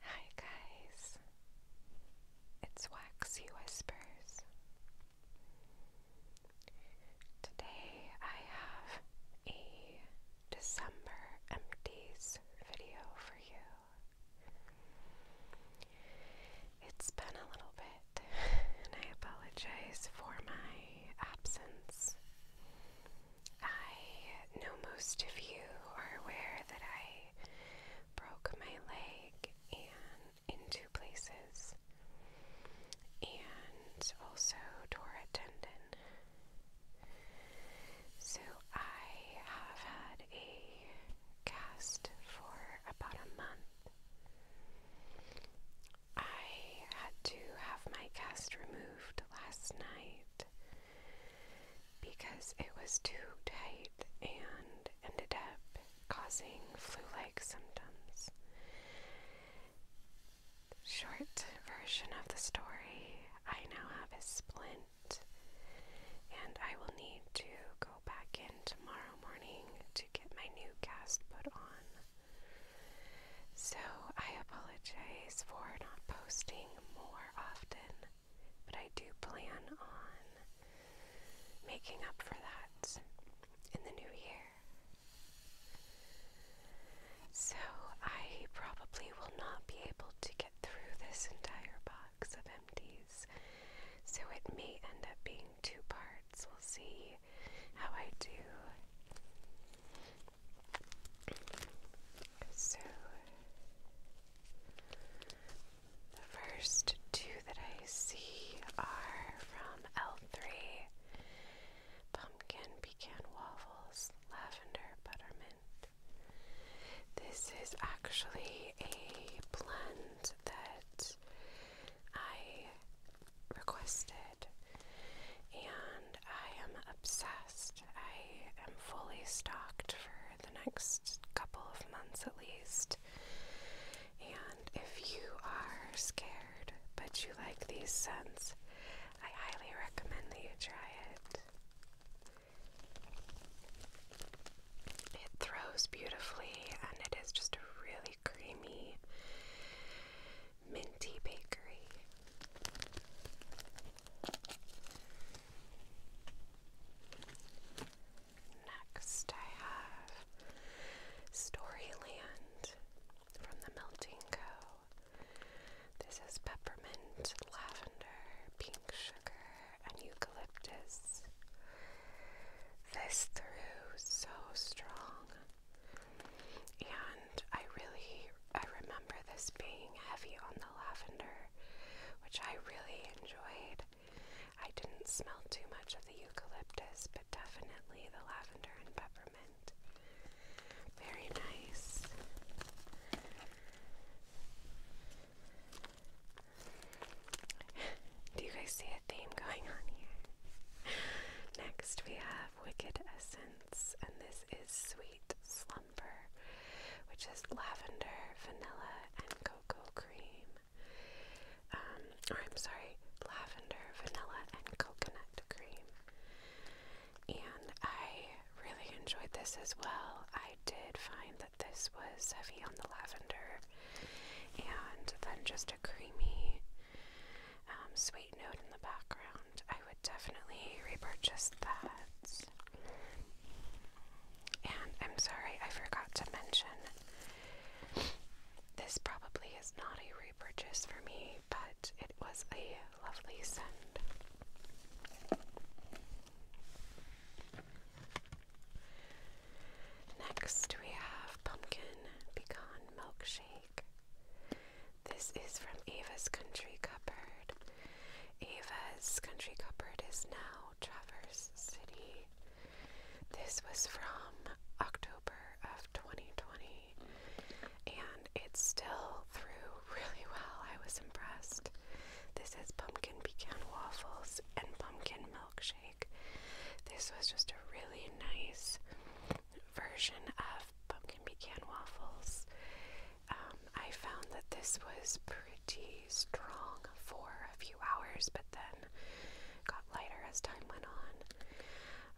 Hi guys, it's Waxy Whispers. Today I have a December empties video for you. It's been a little bit, and I apologize for my absence. I know most of you are aware that I broke my leg and in two places and also tore a tendon. So I have had a cast for about a month. I had to have my cast removed last night because it was too tight and ended up causing flu like symptoms. Short version of the story I now have a splint, and I will need to go back in tomorrow morning to get my new cast put on. So I apologize for not posting more often, but I do plan on making up for that in the new year. So I probably will not be able to get through this entire box of empties, so it may end up being two parts cards. We'll see how I do. So, the first two that I see are from L3 Pumpkin Pecan Waffles, Lavender Buttermint. This is actually a blend that I requested, and I am obsessed. I am fully stocked for the next couple of months at least. And if you are scared but you like these scents, I highly recommend that you try it. It throws beautifully and it is just a really creamy, minty bakery. Next, I have Storyland from the Melting Co. This is peppermint, lavender, pink sugar, and eucalyptus. This threw so strong. And I really I remember this being heavy on the lavender, which I really enjoyed. I didn't smell too much of the eucalyptus, but definitely the lavender and peppermint. Very nice. Do you guys see it? theme going on here. Next, we have Wicked Essence, and this is Sweet Slumber, which is lavender, vanilla, and cocoa cream. Um, or I'm sorry, lavender, vanilla, and coconut cream. And I really enjoyed this as well. I did find that this was heavy on the lavender and then just a creamy um, sweet note in the background. I would definitely repurchase that. And I'm sorry, I forgot to mention this probably is not a repurchase for me, but it was a lovely send. Next, we have Pumpkin Pecan Milkshake. This is from Ava's Country Cupboard. Ava's Country Cupboard is now Traverse City. This was from October of 2020 and it still threw really well. I was impressed. This is pumpkin pecan waffles and pumpkin milkshake. This was just a really nice version of pumpkin pecan waffles. Um, I found that this was pretty strong for a few hours, but then got lighter as time went on.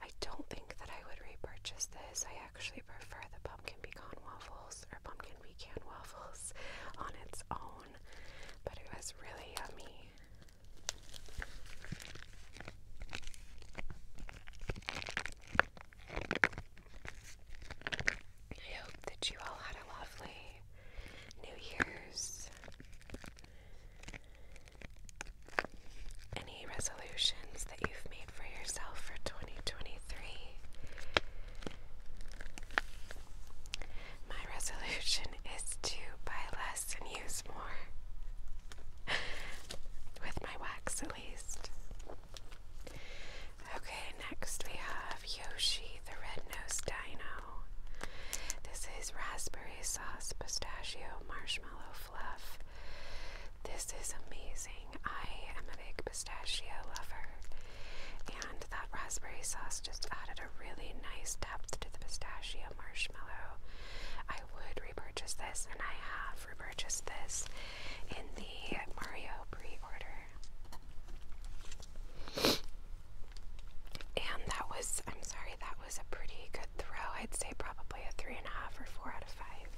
I don't think that I would repurchase this. I actually prefer the pumpkin pecan waffles or pumpkin pecan waffles on its own, but it was really yummy. I hope that you all had a lovely New Year's. Any resolutions that you've made for yourself for 2023? My resolution is to buy less and use more. With my wax, at least. Okay, next we have Yoshi the Red Nosed Dino. This is raspberry sauce, pistachio, marshmallow fluff. This is amazing. I am a big pistachio lover, and that raspberry sauce just added a really nice depth to the pistachio marshmallow. I would repurchase this, and I have repurchased this in the Mario pre order. And that was, I'm sorry, that was a pretty good throw. I'd say probably a three and a half or four out of five.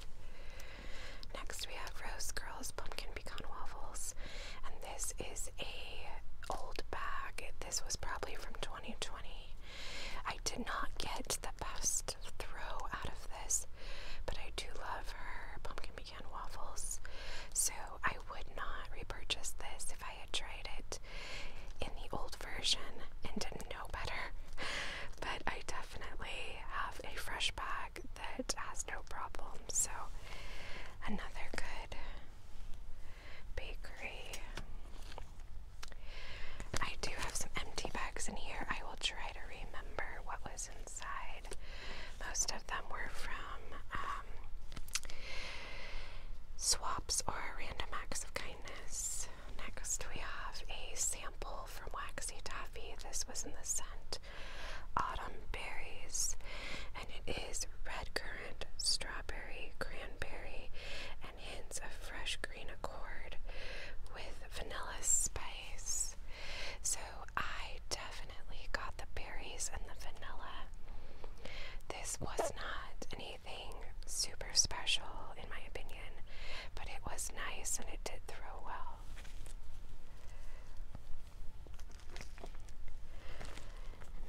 Next, we have Rose Girls Pumpkin Pecan Waffles, and this is a old bag. This was probably from 2020. I did not get the best throw out of this, but I do love her pumpkin pecan waffles, so I would not repurchase this if I had tried it in the old version and didn't know better. But I definitely have a fresh bag that has no problem, so another good Bakery. I do have some empty bags in here. I will try to remember what was inside. Most of them were from um, swaps or random acts of kindness. Next, we have a sample from Waxy Taffy. This was in the scent Autumn Berries, and it is red currant strawberry, cranberry, and hints of fresh green accord with vanilla spice. So I definitely got the berries and the vanilla. This was not anything super special, in my opinion, but it was nice and it did throw well.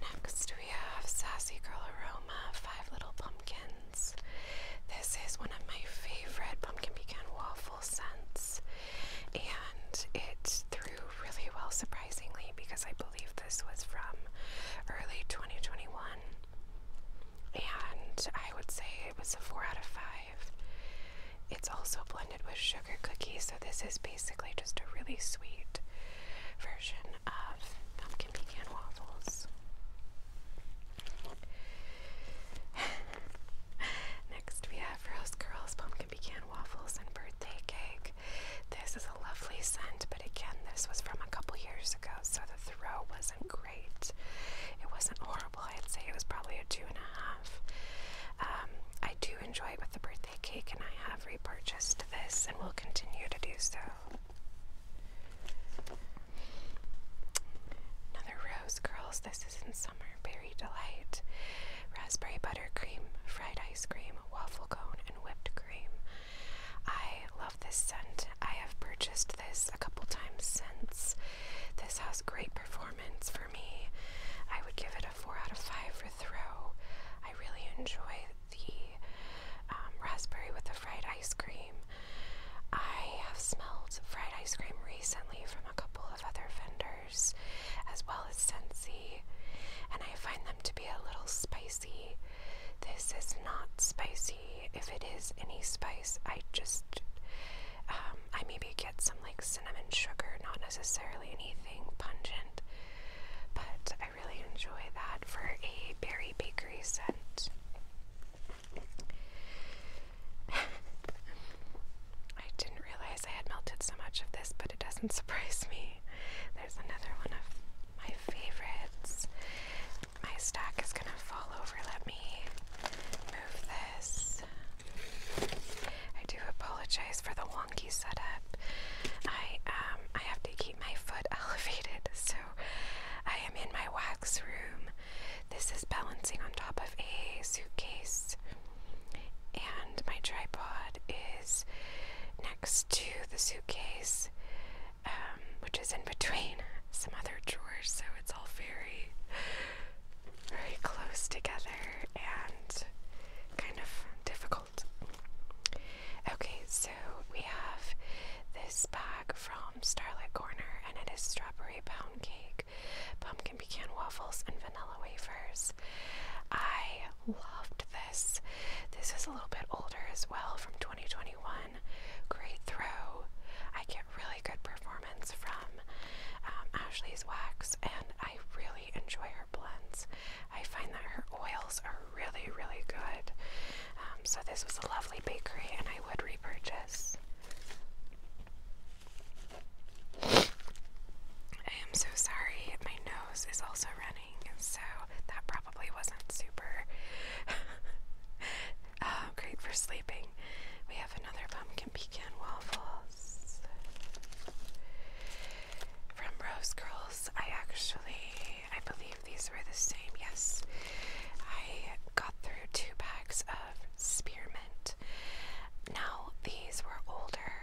Next, we have Sassy Girl Aroma Five Little Pumpkins. This is one of my favorite pumpkin pecan waffle scents, and it threw really well, surprisingly, because I believe this was from early 2021. And I would say it was a 4 out of 5. It's also blended with sugar cookies, so this is basically just a really sweet version of pumpkin pecan waffles. Next, we have Rose Girls Pumpkin Pecan Waffles and Birthday Cake. This is a lovely scent, but again, this was from a couple years ago, so the throw wasn't great. It wasn't horrible, I'd say it was probably a two and a half. Um, I do enjoy it with the birthday cake, and I have repurchased this and will continue to do so. Another Rose Girls, this is in summer. Berry Delight, raspberry buttercream, fried ice cream, waffle cone, and whipped cream. I love this scent. I have purchased this a couple times since. This has great performance for me. I would give it a 4 out of 5 for throw. I really enjoy the um, raspberry with the fried ice cream. I have smelled fried ice cream recently from a couple of other vendors, as well as Scentsy, and I find them to be a little spicy. This is not spicy. If it is any spice, I just, um, I maybe get some like cinnamon sugar, not necessarily anything pungent, but I really enjoy that for a berry bakery scent. I didn't realize I had melted so much of this, but it doesn't surprise me. There's another one of my favorites. My stack is gonna fall over. Let me move this. I do apologize for the wonky setup. I um I have to keep my foot elevated, so I am in my wax room. This is balancing on top of a suitcase, and my tripod is next to the suitcase, um, which is in between some other drawers, so it's all very, very close together and kind of difficult Okay, so we have this bag from Starlit Corner, and it is strawberry pound cake, pumpkin pecan waffles, and vanilla wafers. I loved this. This is a little bit older as well, from 2021. Great throw. I get really good performance from um, Ashley's Wax, and I really enjoy her blends. I find that her oils are really, really good. Um, so, this was a lovely bakery, and I would repurchase. I am so sorry, my nose is also running, so that probably wasn't super uh, great for sleeping. We have another pumpkin pecan waffles from Rose Girls. I actually, I believe these were the same. Yes, I got through two bags of spearmint. Now, these were older.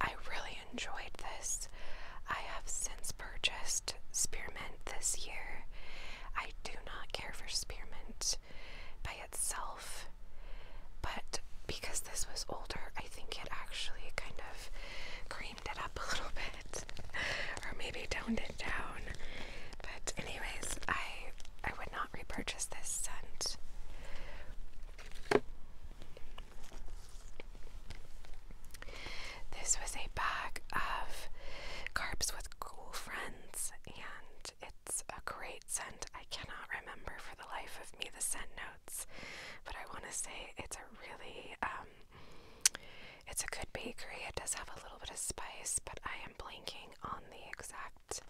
I really enjoyed this. I have since purchased spearmint this year. I do not care for spearmint by itself but because this was older, I think it actually kind of creamed it up a little bit, or maybe toned it down. But anyways, I I would not repurchase this scent. This was a bag of carbs with cool friends, and it's a great scent. I cannot remember for the life of me the scent but I want to say it's a really um, it's a good bakery. It does have a little bit of spice, but I am blanking on the exact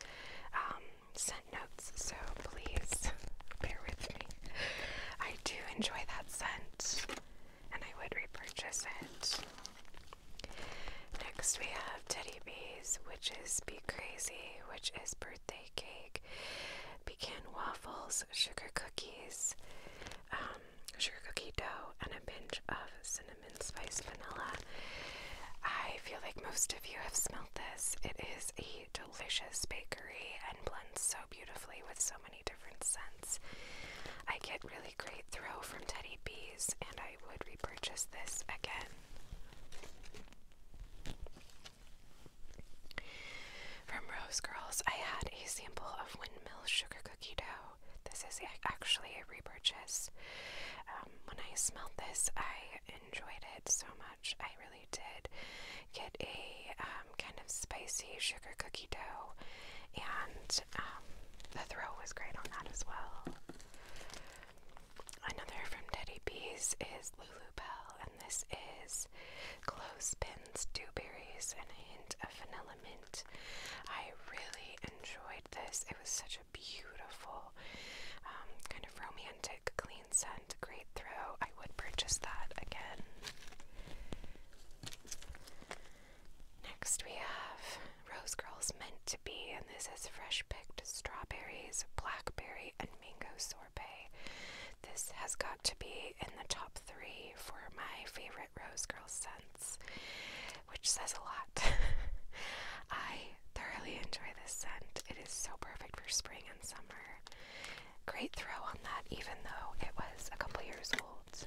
um, scent notes. So please bear with me. I do enjoy that scent, and I would repurchase it. Next, we have Teddy Bees, which is Be Crazy, which is birthday cake, pecan waffles, sugar cookies, um, sugar cookie dough, and a pinch of cinnamon spice vanilla. I feel like most of you have smelled this. It is a delicious bakery and blends so beautifully with so many different scents. I get really great throw from Teddy Bees, and I would repurchase this again. From Rose Girls, I had a sample of Windmill Sugar Cookie Dough. This is actually a repurchase. Um, when I smelled this, I enjoyed it so much. I really did get a um, kind of spicy sugar cookie dough, and um, the throw was great on that as well. Another from Teddy Bees is Lulu Bell, and this is Clothespins, Dewberries, and a hint of vanilla mint. I really enjoyed this. It was such a beautiful, um, kind of romantic, clean scent. Great throw. I would purchase that again. Next, we have Rose Girls Meant to Be, and this is fresh picked strawberries, blackberry, and mango sorbet. This has got to be in the top three for my favorite Rose Girl scents, which says a lot. I thoroughly enjoy this scent. It is so perfect for spring and summer. Great throw on that, even though it was a couple years old.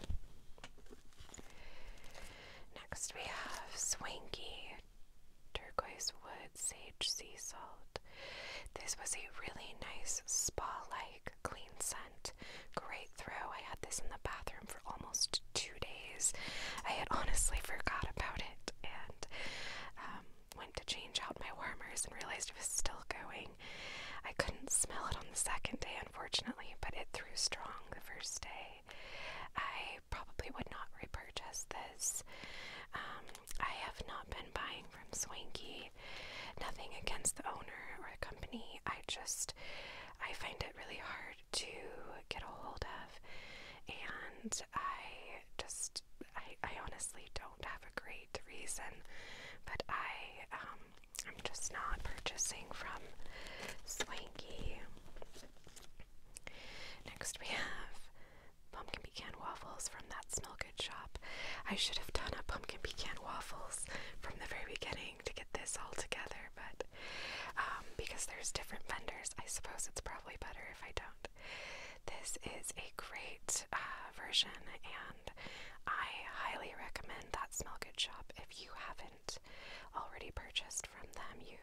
Next, we have Swanky turquoise wood, sage sea salt. This was a really nice spa like clean scent. Great throw. I had this in the bathroom for almost two days. I had honestly forgot about it and um, went to change out my warmers and realized it was still going. I couldn't smell it on the second day, unfortunately, but it threw strong the first day. I probably would not repurchase this. Um, I have not been buying from Swanky. Nothing against the owner or the company. I just I find it really hard to get a hold of and I just I, honestly don't have a great reason, but I um, I'm just not purchasing from Swanky. Next we have pumpkin pecan waffles from that smell shop. I should have done a pumpkin pecan waffles from the very beginning to get this all together, but um, because there's different vendors, I suppose it's probably better if I don't. This is a great uh, version, and I highly recommend that smell good shop if you haven't already purchased from them. You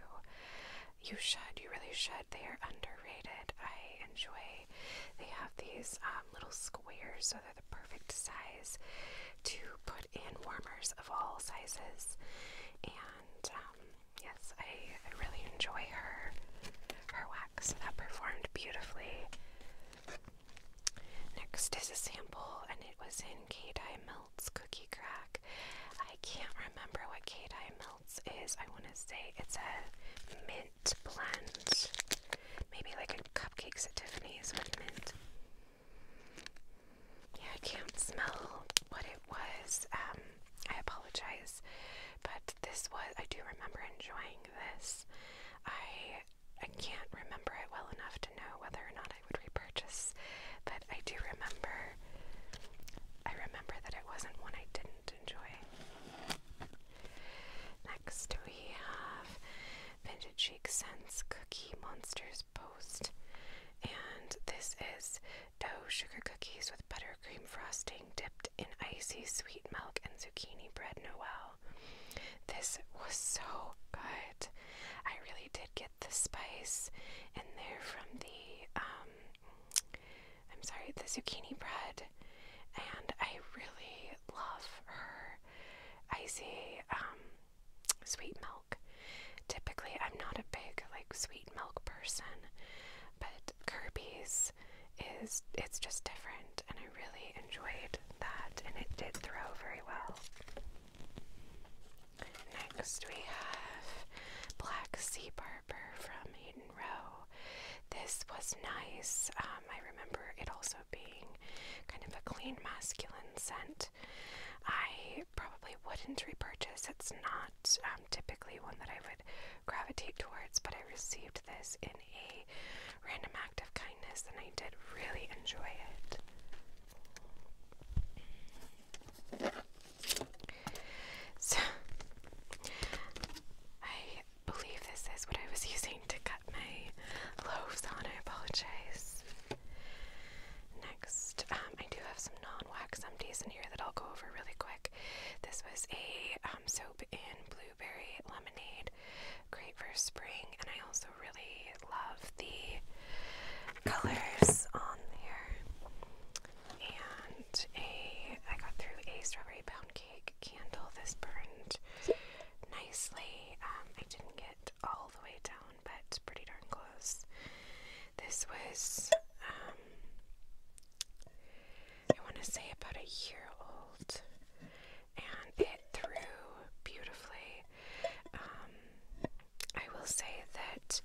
you should. You really should. They are underrated. I enjoy. They have these um, little squares, so they're the perfect size to put in warmers of all sizes. And um, yes, I, really enjoy her her wax that performed beautifully. Next is a sample, and it was in K Dye Melt's Cookie Crack. I can't remember what K Dye Melt is, I want to say it's a mint blend. Maybe like a cupcakes at Tiffany's with mint. Yeah, I can't smell what it was. Um, I apologize, but this was, I do remember enjoying this. I I can't remember it well enough to know whether or not I would repurchase, but I do remember I remember that it wasn't one I didn't enjoy. Next, we have Vintage Cheeks' Scents Cookie Monsters Post. And this is dough sugar cookies with buttercream frosting dipped in icy sweet milk and zucchini bread Noel. This was so good. I really did get the spice in there from the um, I'm sorry, the zucchini bread, and I really love her icy um, sweet milk. Typically, I'm not a big like sweet milk person, but Kirby's is it's just different, and I really enjoyed that, and it did throw very well. Next, we have Black Sea Barber from Hayden Row. This was nice. Um, I remember it also being kind of a clean, masculine scent. I probably wouldn't repurchase. It's not um, typically one that I would gravitate towards, but I received this in a random act of kindness and I did really enjoy it. So, I believe this is what I was using to cut my loaves on. I apologize. Next, um, I do have some non wax empties in here that I'll go over really quick. This was a um, soap in blueberry lemonade, great for spring, and I also really love the colors on there and a I got through a strawberry pound cake candle. This burned nicely. Um, I didn't get all the way down, but pretty darn close. This was um, I want to say about a year old, and it threw beautifully. Um, I will say that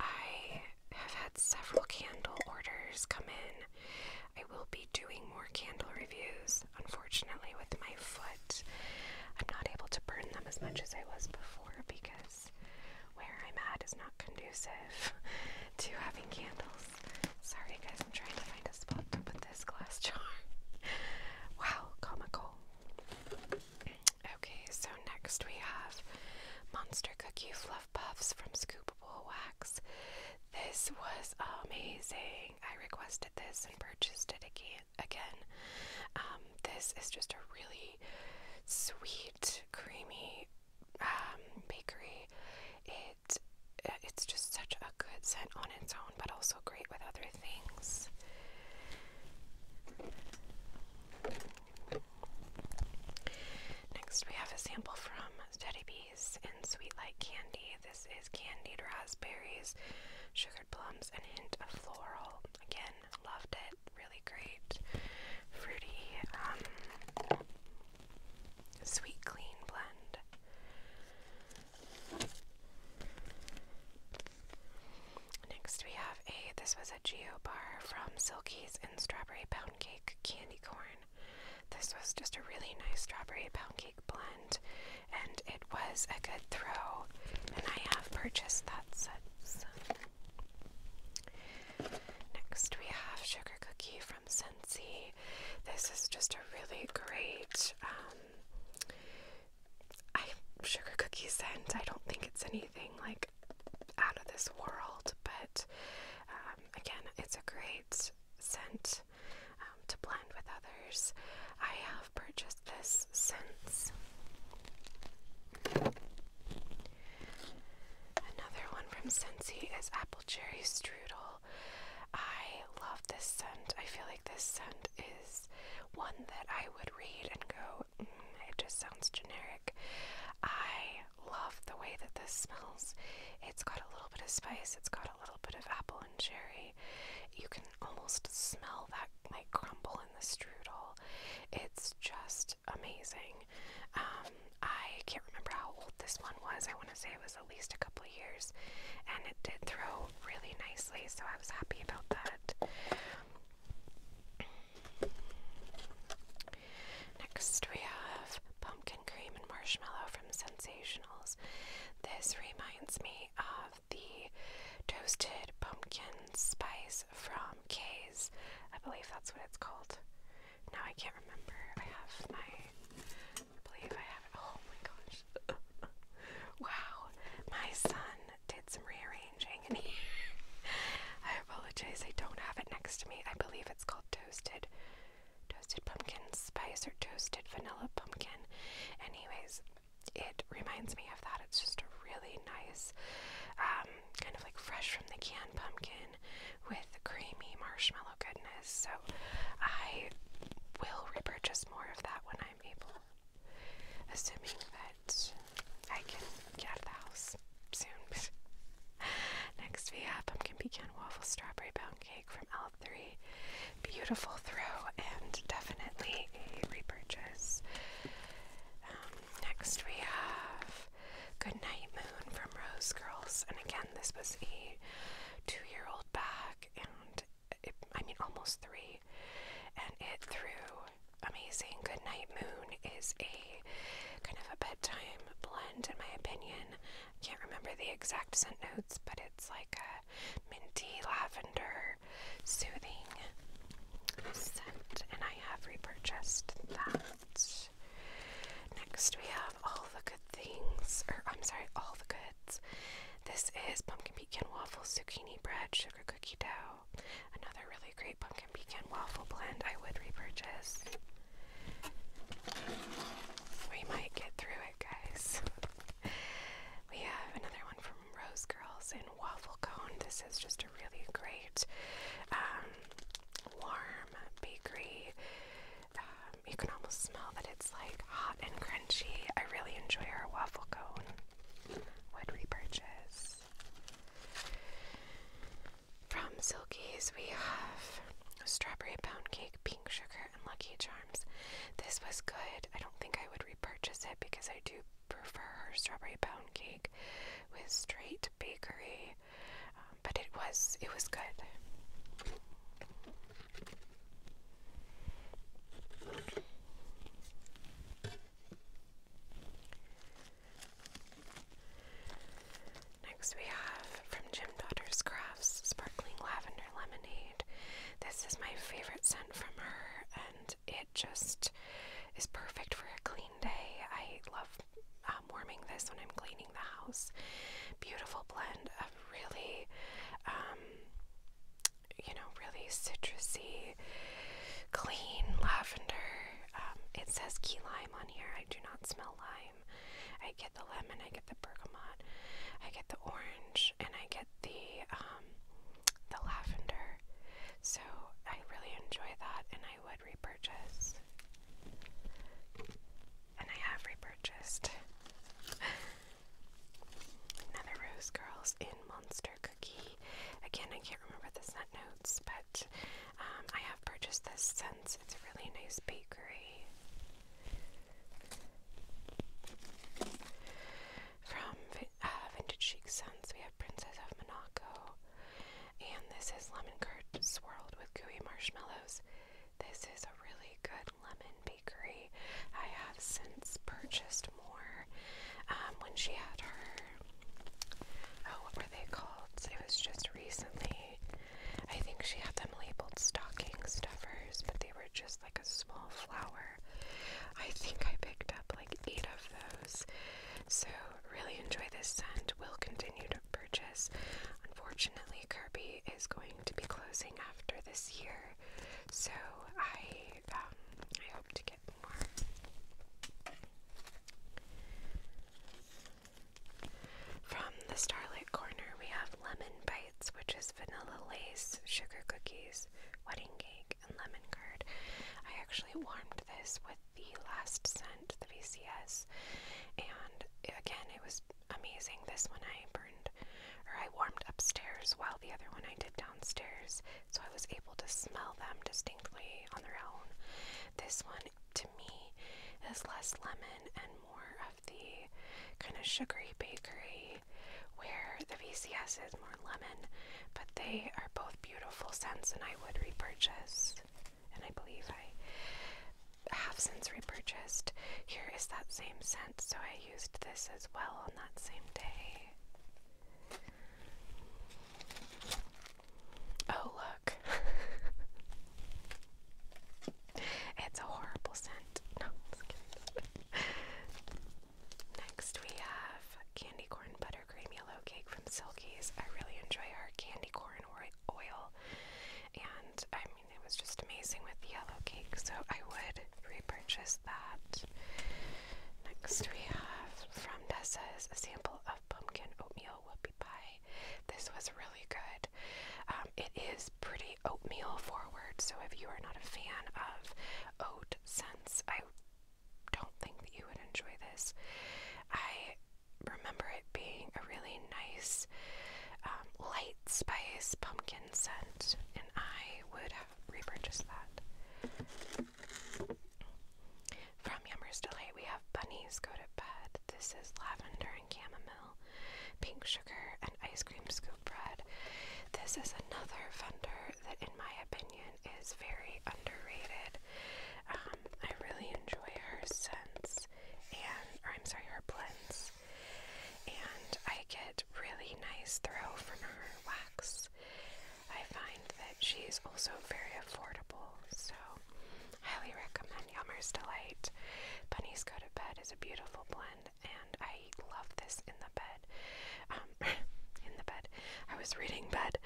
I have had several candle orders come in. I will be doing more candle reviews. Unfortunately, with my foot, I'm not able to burn them as much as I was before because where I'm at is not conducive to having candles. Sorry, guys, I'm trying to find a spot to put this glass jar. wow, comical. Okay, so next we have Monster Cookie Fluff Puffs from Scoopable Wax. This was amazing. I requested this and purchased it again. Again, um, this is just a really sweet, creamy um, bakery. It uh, it's just such a good scent on its own, but also great with other things. Next, we have a sample from Teddy Bees in Sweet Like Candy. This is candied raspberries, sugared plums, and hint of floral. Again, loved it. Really great, fruity, um, sweet, clean blend. Next we have a, this was a Geo bar from Silky's and Strawberry Pound Cake Candy Corn. This was just a really nice strawberry pound cake blend and it was a good throw and I have purchased that since. Next we have Sugar Cookie from Sensi. This is just a really great um, I sugar cookie scent. I don't think it's anything like out of this world, but um, again, it's a great scent um, to blend with others. I have purchased this since. Another one from Scentsy is Apple Cherry Strudel. I love this scent. I feel like this scent is one that I would read and go, it just sounds generic. I love the way that this smells. It's got a little bit of spice, it's got a little bit of apple and cherry. You can almost smell that like crumble in the strudel. It's just amazing. Um, I can't remember how old this one was. I want to say it was at least a couple of years, and it did throw really nicely, so I was happy about that. Next, we have pumpkin cream and marshmallow from Sensationals. This reminds me of the toasted pumpkin spice from K's. I believe that's what it's called. Now I can't remember. I have my. I believe I have. Oh my gosh. wow. My son did some rearranging in I apologize, I don't have it next to me. I believe it's called toasted toasted pumpkin spice or toasted vanilla pumpkin. Anyways, it reminds me of that. It's just a really nice, um, kind of like fresh from the can pumpkin with creamy marshmallow goodness. So I will repurchase more of that when I'm able assuming that I can get out of the house soon. Next we have I pumpkin pecan waffle strawberry pound cake from L3. Beautiful throw and definitely a repurchase. Um, next we have Goodnight Moon from Rose Girls, and again this was a two-year-old bag, and I mean almost three, and it threw amazing. Good Night Moon is a kind of a bedtime blend, in my opinion. can't remember the exact scent notes, but it's like a minty, lavender, soothing scent, and I have repurchased that. Next, we have All the Good Things, or I'm sorry, All the Goods. This is pumpkin pecan waffle, zucchini bread, sugar cookie dough another really great pumpkin pecan waffle blend I would repurchase. We might get through it, guys. we have another one from Rose Girls in Waffle Cone. This is just a really great um, warm bakery. Um, you can almost smell that it's like hot and crunchy. I really enjoy our waffle cone would we From Silky's, we have strawberry pound cake, pink sugar, and Lucky Charms. This was good. I don't think I would repurchase it because I do prefer her strawberry pound cake with straight bakery. Um, but it was it was good. Next, we have from Jim Daughter's Crafts Sparkling Lavender Lemonade. This is my favorite scent from her, and it just is perfect for a clean day. I love um, warming this when I'm cleaning the house. Beautiful blend of really um, you know, really citrusy, clean lavender. Um, it says key lime on here. I do not smell lime. I get the lemon, I get the bergamot, I get the orange, and I get the um, the lavender. So I really enjoy that, and I would repurchase. And I have repurchased. Another Rose Girls in Monster Cookie. Again, I can't remember the scent notes, but um, I have purchased this since it's a really nice bakery. From uh, Vintage Chic Scents, we have Princess of Monaco, and this is lemon curd swirled with gooey marshmallows. This is a really good lemon bakery. I have since purchased more. Um, when she had her, oh, what were they called? It was just recently. I think she had them labeled stocking stuffers, but they were just like a small flower. I think I picked up like eight of those. So, really enjoy this scent. Will continue to purchase. Unfortunately, Kirby is going to be closing after this year. So, I I hope to get more. From the Starlit Corner, we have Lemon Bites, which is vanilla lace, sugar cookies, wedding cake, and lemon curd. I actually warmed this with the last scent, the VCS, and again, it was amazing. This one I burned or I warmed upstairs while the other one I did downstairs, so I was able to smell them distinctly on their own. This one, to me, is less lemon and more of the kind of sugary bakery where the VCS is more lemon, but they are both beautiful scents, and I would repurchase. And I believe I have since repurchased. Here is that same scent, so I I used this as well on that same day. Oh, look. it's a horrible scent. No, just kidding. Next, we have candy corn buttercream yellow cake from Silky's. I really enjoy our candy corn oil, and I mean, it was just amazing with yellow cake, so I would could repurchase that. Next, we have from Nessa's a sample of pumpkin oatmeal whoopie pie. This was really good. Um, it is pretty oatmeal forward, so if you are not a fan of oat scents, I don't think that you would enjoy this. I remember it being a really nice, um, light spice pumpkin scent, and I would have repurchased that. From Yummer's Delight, we have Bunnies Go to Bed. This is lavender and chamomile, pink sugar, and ice cream scoop bread. This is another vendor that, in my opinion, is very underrated. Um, I really enjoy her scents, and, or I'm sorry, her blends. And I get really nice throw from her wax. I find that she's also very affordable, so highly recommend Yummer's Delight. Bunny's Go to Bed is a beautiful blend, and I love this in the bed. Um, in the bed. I was reading bed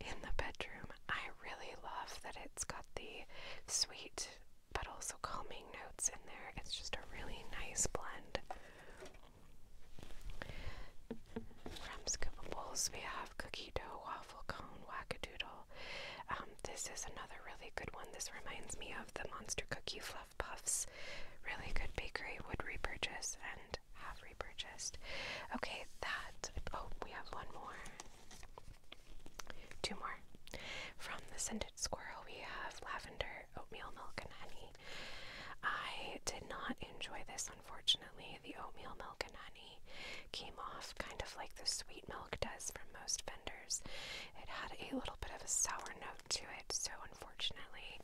in the bedroom. I really love that it's got the sweet but also calming notes in there. It's just a really nice blend. From Scoopables, we have cookie dough, waffle cone, wackadoodle. Um, this is another really good one. This reminds me of the Monster Cookie Fluff Puffs. Really good bakery would repurchase and have repurchased. Okay, that. Oh, we have one more. Two more. From the Cinder squirrel. We have lavender, oatmeal milk, and honey. I did not enjoy this, unfortunately. The oatmeal milk and honey came off kind of like the sweet milk does from most vendors. It had a little bit of a sour note to it, so unfortunately,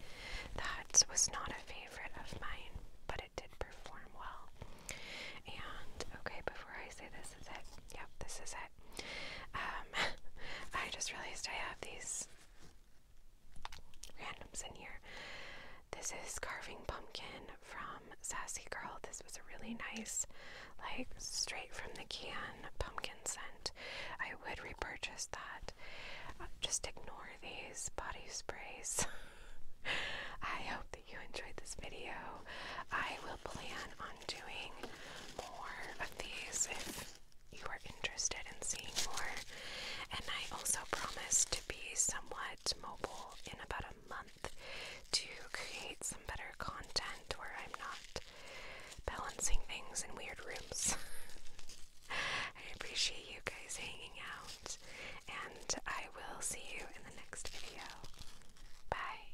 that was not a favorite of mine, but it did perform well. And okay, before I say this is it, yep, this is it. Um, I just realized I have these randoms in here. This is Carving Pumpkin from Sassy Girl. This was a really nice, like, straight from the can pumpkin scent. I would repurchase that. Uh, just ignore these body sprays. I hope that you enjoyed this video. I will plan on doing more of these you are interested in seeing more. And I also promise to be somewhat mobile in about a month to create some better content where I'm not balancing things in weird rooms. I appreciate you guys hanging out, and I will see you in the next video. Bye.